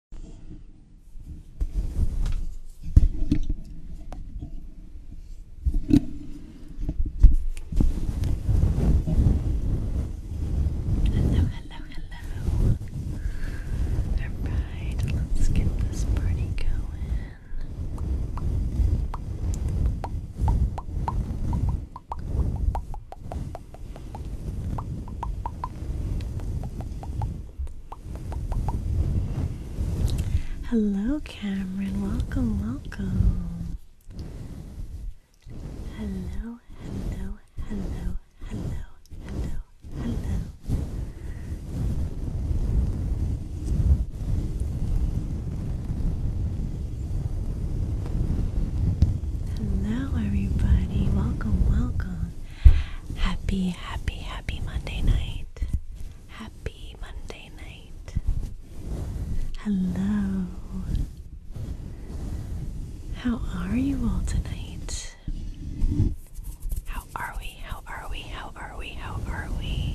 Hello, hello, hello. Alright, let's get this party going. Hello, Cameron. Welcome, welcome. Hello, hello, hello, hello, hello, hello. Hello, everybody. Welcome, welcome. Happy, happy, happy Monday night. Happy Monday night. Hello. How are you all tonight? How are we? How are we? How are we? How are we?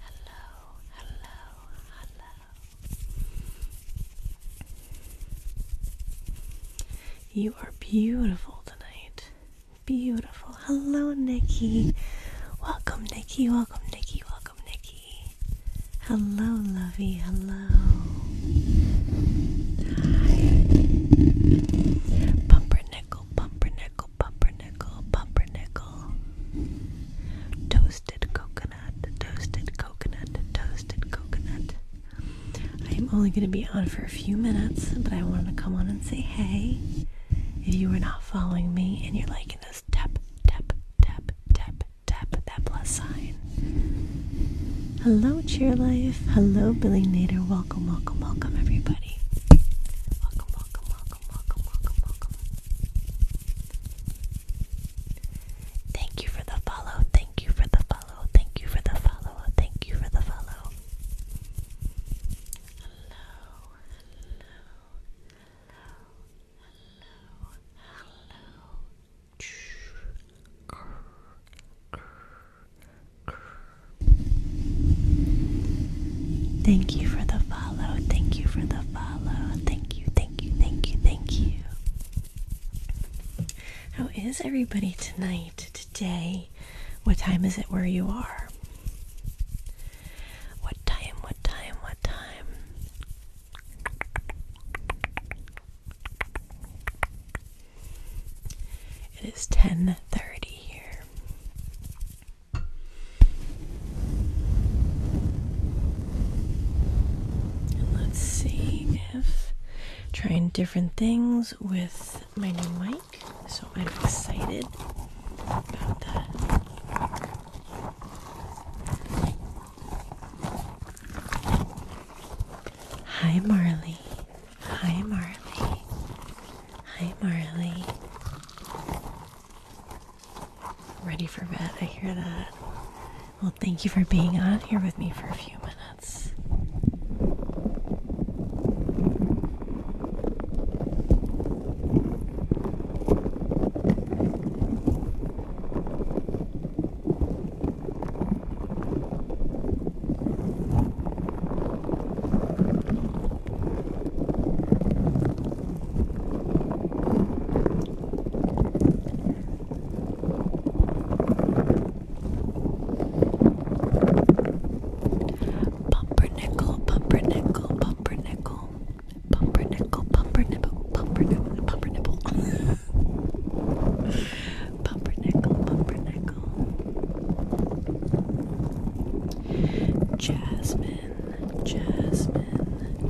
hello, hello, hello. You are beautiful tonight. Beautiful. Hello, Nikki. Welcome, Nikki. Welcome, Nikki. Welcome, Nikki. Hello, lovey. Hello. Hi. Pumpernickel, pumpernickel pumpernickel, pumpernickel, pumpernickel. Toasted coconut, toasted coconut, toasted coconut. I am only going to be on for a few minutes, but I wanted to come on and say hey. If you are not following me and you're liking this, tap, tap, tap, tap, tap that plus sign. Hello, Cheerlife. Hello, Billy Nader. Welcome, welcome, welcome, everybody. Welcome, welcome, welcome, welcome, welcome, welcome. Thank you for the follow. Thank you for the follow. Thank you for the follow. Thank you for the follow. Hello, hello, hello, hello, hello. Thank you for the follow. Thank you for the follow. Thank you, thank you, thank you, thank you. How is everybody tonight, today? What time is it where you are? What time, what time, what time? It is 10:30 here let's see if trying different things with my new mic. So I'm excited Hi, Marley. Hi, Marley. Hi, Marley. Ready for bed, I hear that. Well, thank you for being on here with me for a few minutes. Pumpernickel, pumpernickel, pumpernickel, pumpernickel, pumpernickel, pumpernickel, pumpernickel, pumpernickel, pumpernickel, jasmine. Jasmine, Jasmine,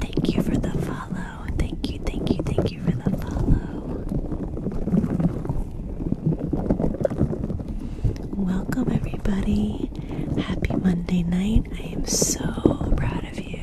Thank you for the follow. Thank you, thank you, thank you for the follow. Welcome, everybody. Happy Monday night. I am so proud of you.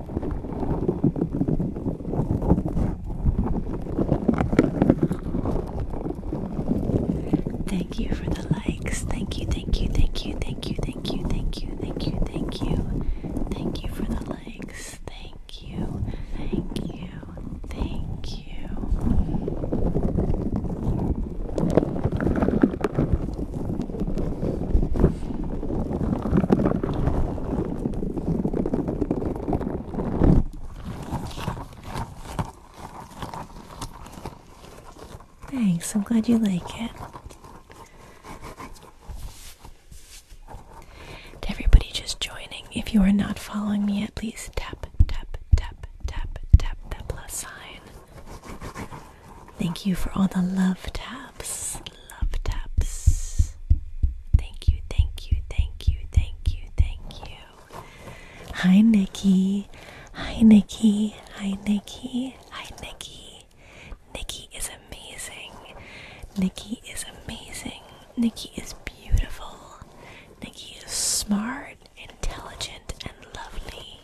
Thank you for the likes. Thank you, thank you, thank you, thank you, thank you, thank you, thank you, thank you. Thank you for the likes. Thank you, thank you, thank you. Thanks, I'm glad you like it. To everybody just joining, if you are not following me yet, please tap, tap, tap, tap, tap that plus sign. Thank you for all the love taps love taps. Thank you, thank you, thank you, thank you, thank you. Hi, Nikki. Hi, Nikki. Hi, Nikki. Hi, Nikki. Nikki is amazing. Nikki is amazing. Nikki is beautiful. Nikki is smart, intelligent, and lovely.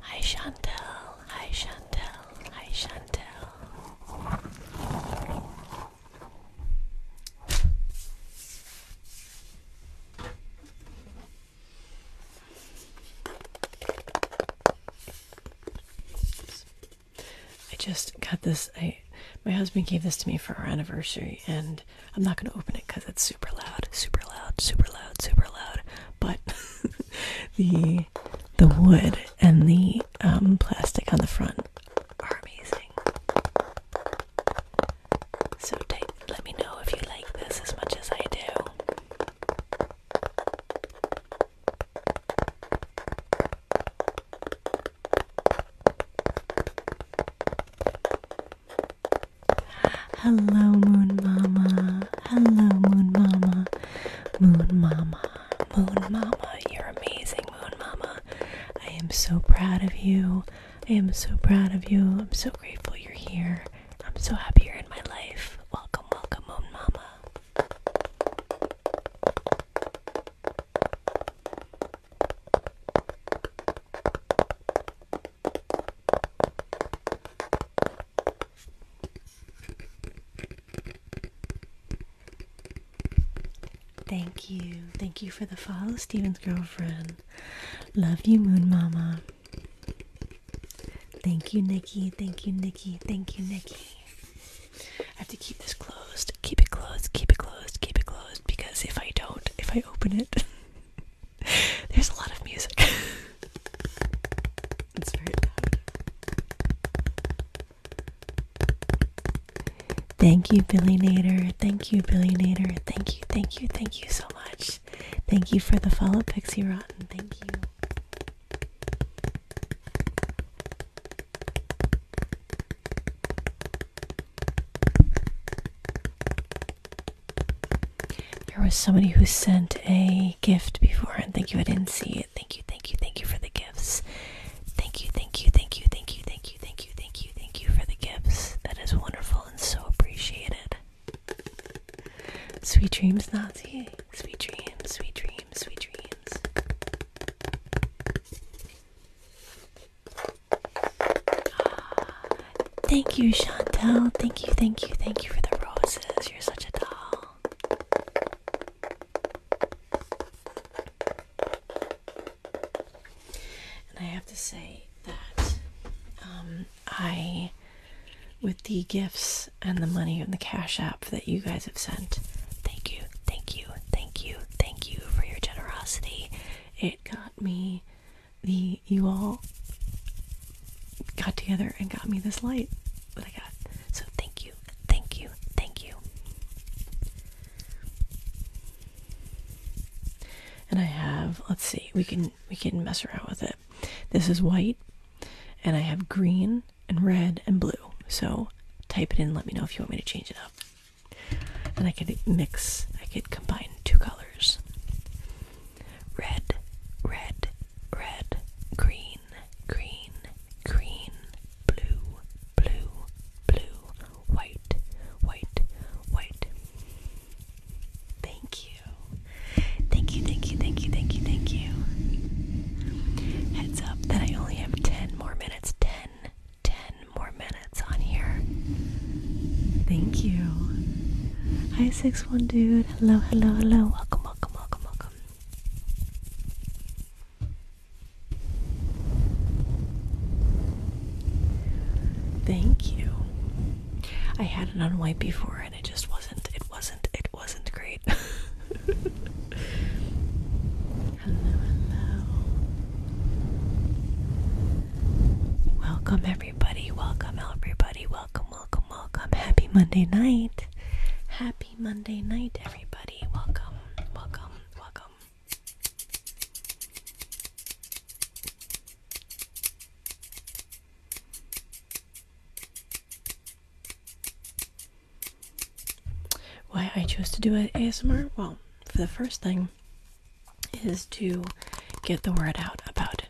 Hi Chantel, I Chantel, hi Chantel. I just got this. I my husband gave this to me for our anniversary, and I'm not going to open it because it's super loud, super loud, super loud, super loud. But the the wood and the um, plastic on the front are amazing. So take, let me know if you like this as much as I do. Hello, Moon Mama. Hello, Moon Mama. Moon Mama. Moon Mama. You're amazing, Moon Mama. I am so proud of you. I am so proud of you. I'm so grateful you're here. I'm so happy you're in my life. Welcome, welcome, Moon Mama. Thank you. Thank you for the follow, Steven's girlfriend. Love you, Moon Mama. Thank you, Nikki. Thank you, Nikki. Thank you, Nikki. I have to keep this closed. Keep it closed. Keep it closed. Keep it closed. Because if I don't, if I open it, There's a lot of music. Thank you, Billy Nader. Thank you, Billy Nader. Thank you, thank you, thank you so much. Thank you for the follow, Pixie Rotten. Thank you. There was somebody who sent a gift before, and thank you, I didn't see it. Thank you, thank you, thank you for the gifts. Thank you, thank you, thank you, thank you, thank you, thank you, thank you, thank you for the gifts. That is wonderful and so appreciated. Sweet dreams, Nazi. Sweet dreams, sweet dreams, sweet dreams. Thank you, Chantel. Thank you, thank you, thank you for the roses. You're such a doll. And I have to say that um, I, with the gifts and the money and the cash app that you guys have sent, thank you, thank you, thank you, thank you for your generosity. It got me the you all got together and got me this light that I got. So thank you, thank you, thank you. And I have, let's see, we can we can mess around with it. This is white, and I have green and red and blue. So type it in. Let me know if you want me to change it up. And I can mix. I could combine two colors. Red, red, red, green, green, green, blue, blue, blue, white, white, white. Thank you. Thank you, thank you, thank you, thank you, Heads up that I only have 10 more minutes. 10, more minutes on here. Thank you. Hi, six one dude. Hello, hello, hello. Welcome, welcome, welcome, welcome. Thank you. I had it on before, and it just wasn't. It wasn't. It wasn't great. hello, hello. Welcome, everybody. Welcome, everybody. Welcome welcome, welcome, welcome. Happy Monday night. Happy Monday night, everybody. Welcome, welcome, welcome. Why I chose to do an ASMR? Well, for the first thing, is to get the word out about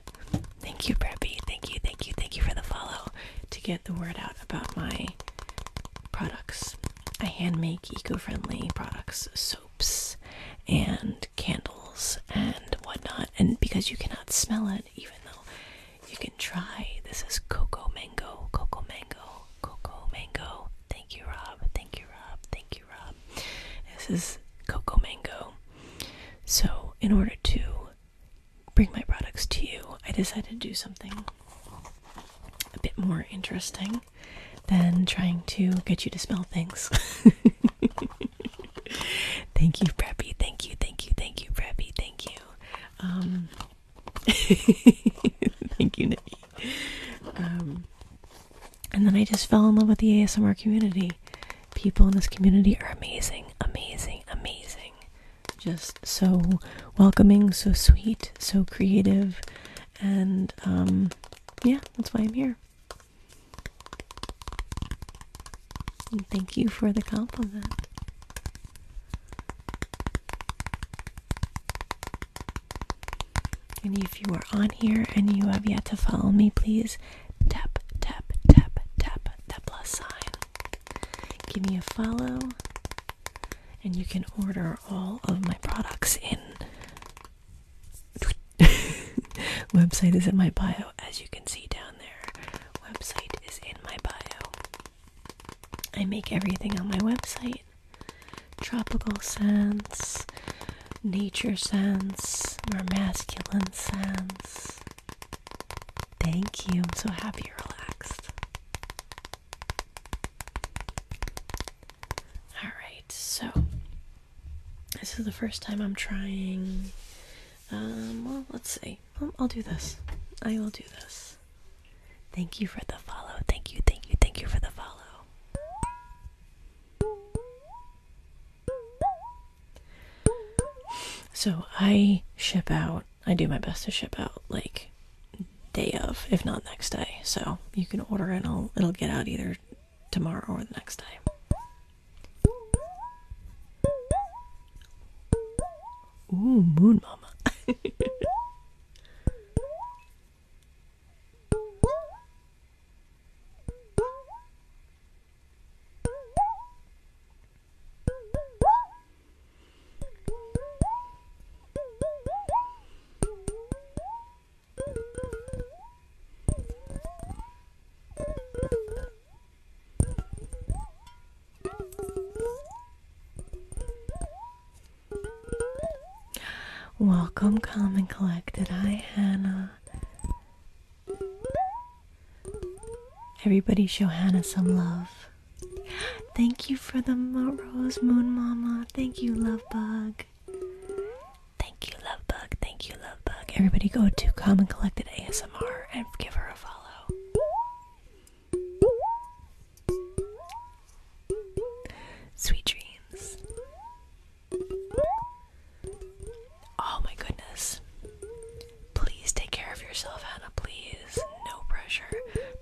Thank you, Preppy. Thank you, thank you, thank you for the follow. To get the word out about my products. I hand make eco friendly products, soaps and candles and whatnot. And because you cannot smell it, even though you can try, this is cocoa mango, cocoa mango, cocoa mango. Thank you, Rob. Thank you, Rob. Thank you, Rob. This is Coco Mango. So, in order to bring my products to you, I decided to do something a bit more interesting than trying to get you to smell things. thank you, Preppy. Thank you, thank you, thank you, Preppy. Thank you. Um, thank you, Nikki. Um, and then I just fell in love with the ASMR community people in this community are amazing, amazing, amazing. Just so welcoming, so sweet, so creative, and um, yeah, that's why I'm here. thank you for the compliment. And if you are on here and you have yet to follow me, please Tap, tap, tap, tap tap plus sign. Give me a follow, and you can order all of my products in. Website is in my bio, as you can see down there. Website is in my bio. I make everything on my website tropical scents, nature scents, or masculine scents. Thank you. I'm so happy relaxed. All right, so this is the first time I'm trying. Um, well, let's see. I'll, I'll do this. I will do this. Thank you for the follow. Thank you, thank you, thank you for the follow. So I ship out. I do my best to ship out like day of, if not next day. So you can order it. i it'll get out either tomorrow or the next day. Ooh, Moon Mama. Welcome, calm and collected. Hi, Hannah. Everybody show Hannah some love. Thank you for the rose, Moon Mama. Thank you, Love Bug. Thank you, Love Bug. Thank you, Love Everybody go to Common Collected ASMR and give her a follow. Sweet dreams. Oh my goodness. Please take care of yourself, Hannah, please. No pressure.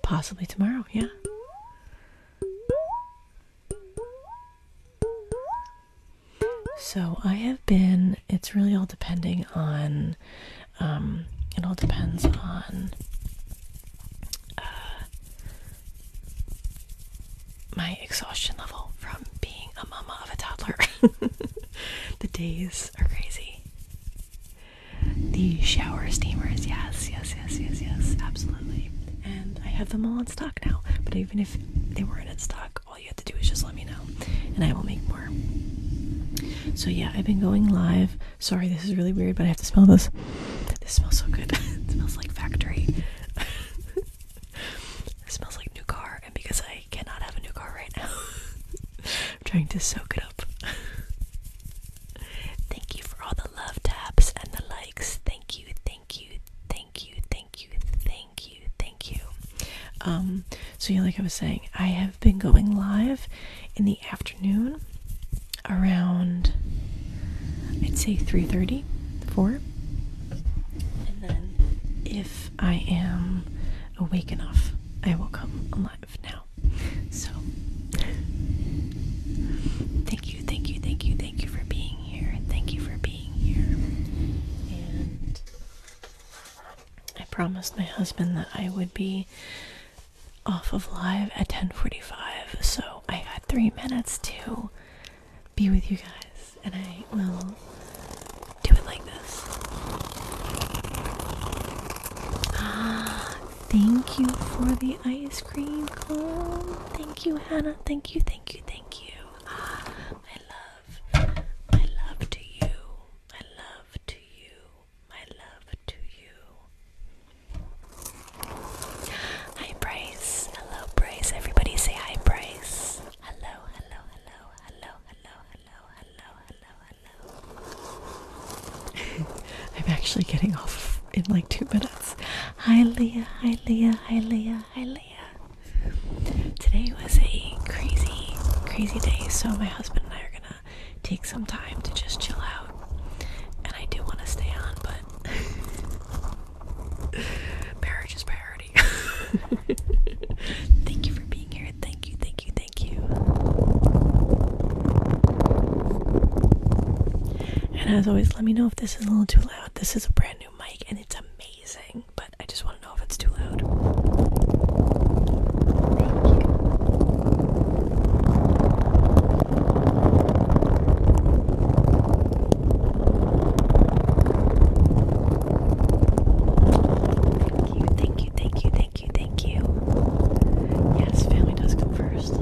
Possibly tomorrow, yeah. So I have been, it's really all depending on, um, it all depends on uh, my exhaustion level from being a mama of a toddler. the days are crazy. The shower steamers, yes, yes, yes, yes, yes, absolutely. And I have them all in stock now. But even if they weren't in stock, all you have to do is just let me know, and I will make more. So yeah, I've been going live. Sorry, this is really weird, but I have to smell this. This smells so good. it smells like factory. It smells like new car, and because I cannot have a new car right now, I'm trying to soak it up. thank you for all the love taps and the likes. Thank you, thank you, thank you, thank you, thank you, thank you. Um, so yeah, like I was saying, I have been going live in the afternoon around I'd say 3:30, 4. And then if I am awake enough, I will come alive now. So, thank you, thank you, thank you, thank you for being here. and Thank you for being here. And I promised my husband that I would be off of live at 10:45, so I got 3 minutes to be with you guys and I will do it like this. Ah, thank you for the ice cream cone. Thank you, Hannah. Thank you, thank you, thank you. Ah, my love. My love to you. My love to you. My love to you. Hi, Bryce. Hello, Bryce. Everybody say hi, Bryce. Hello, hello, hello, hello, hello, hello, hello, hello. I'm actually getting off in like two minutes. Hi Leah, hi Leah, hi Leah, hi Leah. Today was a crazy, crazy day, so my husband and I are gonna take some time to just chill out. And I do want to stay on, but marriage is priority. thank you for being here. Thank you, thank you, thank you. And as always, let me know if this is a little too loud. This is a brand new mic and it's amazing, but I just want to know if it's too loud. Thank you, thank you, thank you, thank you, thank you. Yes, family does come first.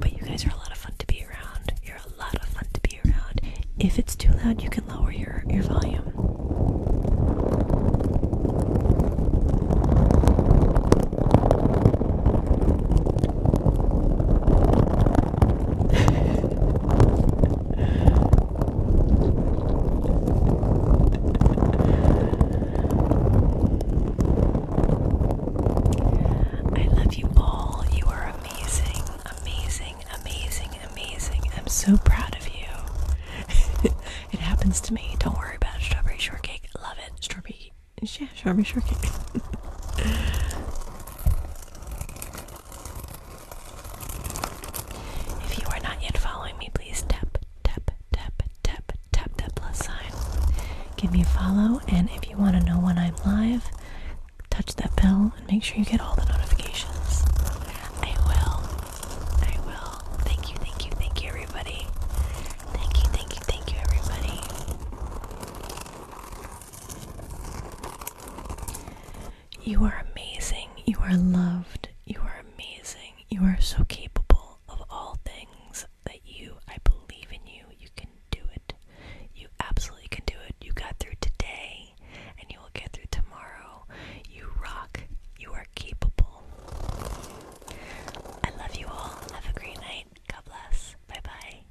But you guys are a lot of fun to be around. You're a lot of fun to be around. If it's too loud, you can lower your, your volume. I love you all. You are amazing, amazing, amazing, amazing. I'm so proud of you. it happens to me. Don't worry about Strawberry shortcake. Love it. Strawberry. Yeah, strawberry shortcake. If you are not yet following me, please tap, tap, tap, tap, tap plus sign. Give me a follow, and if you want to know when I'm live, touch that bell and make sure you get all the notifications. I will. I will. Thank you, thank you, thank you, everybody. Thank you, thank you, thank you, everybody. You are amazing. You are loved. You are amazing. You are so capable of all things that you, I believe in you. You can do it. You absolutely can do it. You got through today and you will get through tomorrow. You rock. You are capable. I love you all. Have a great night. God bless. Bye bye.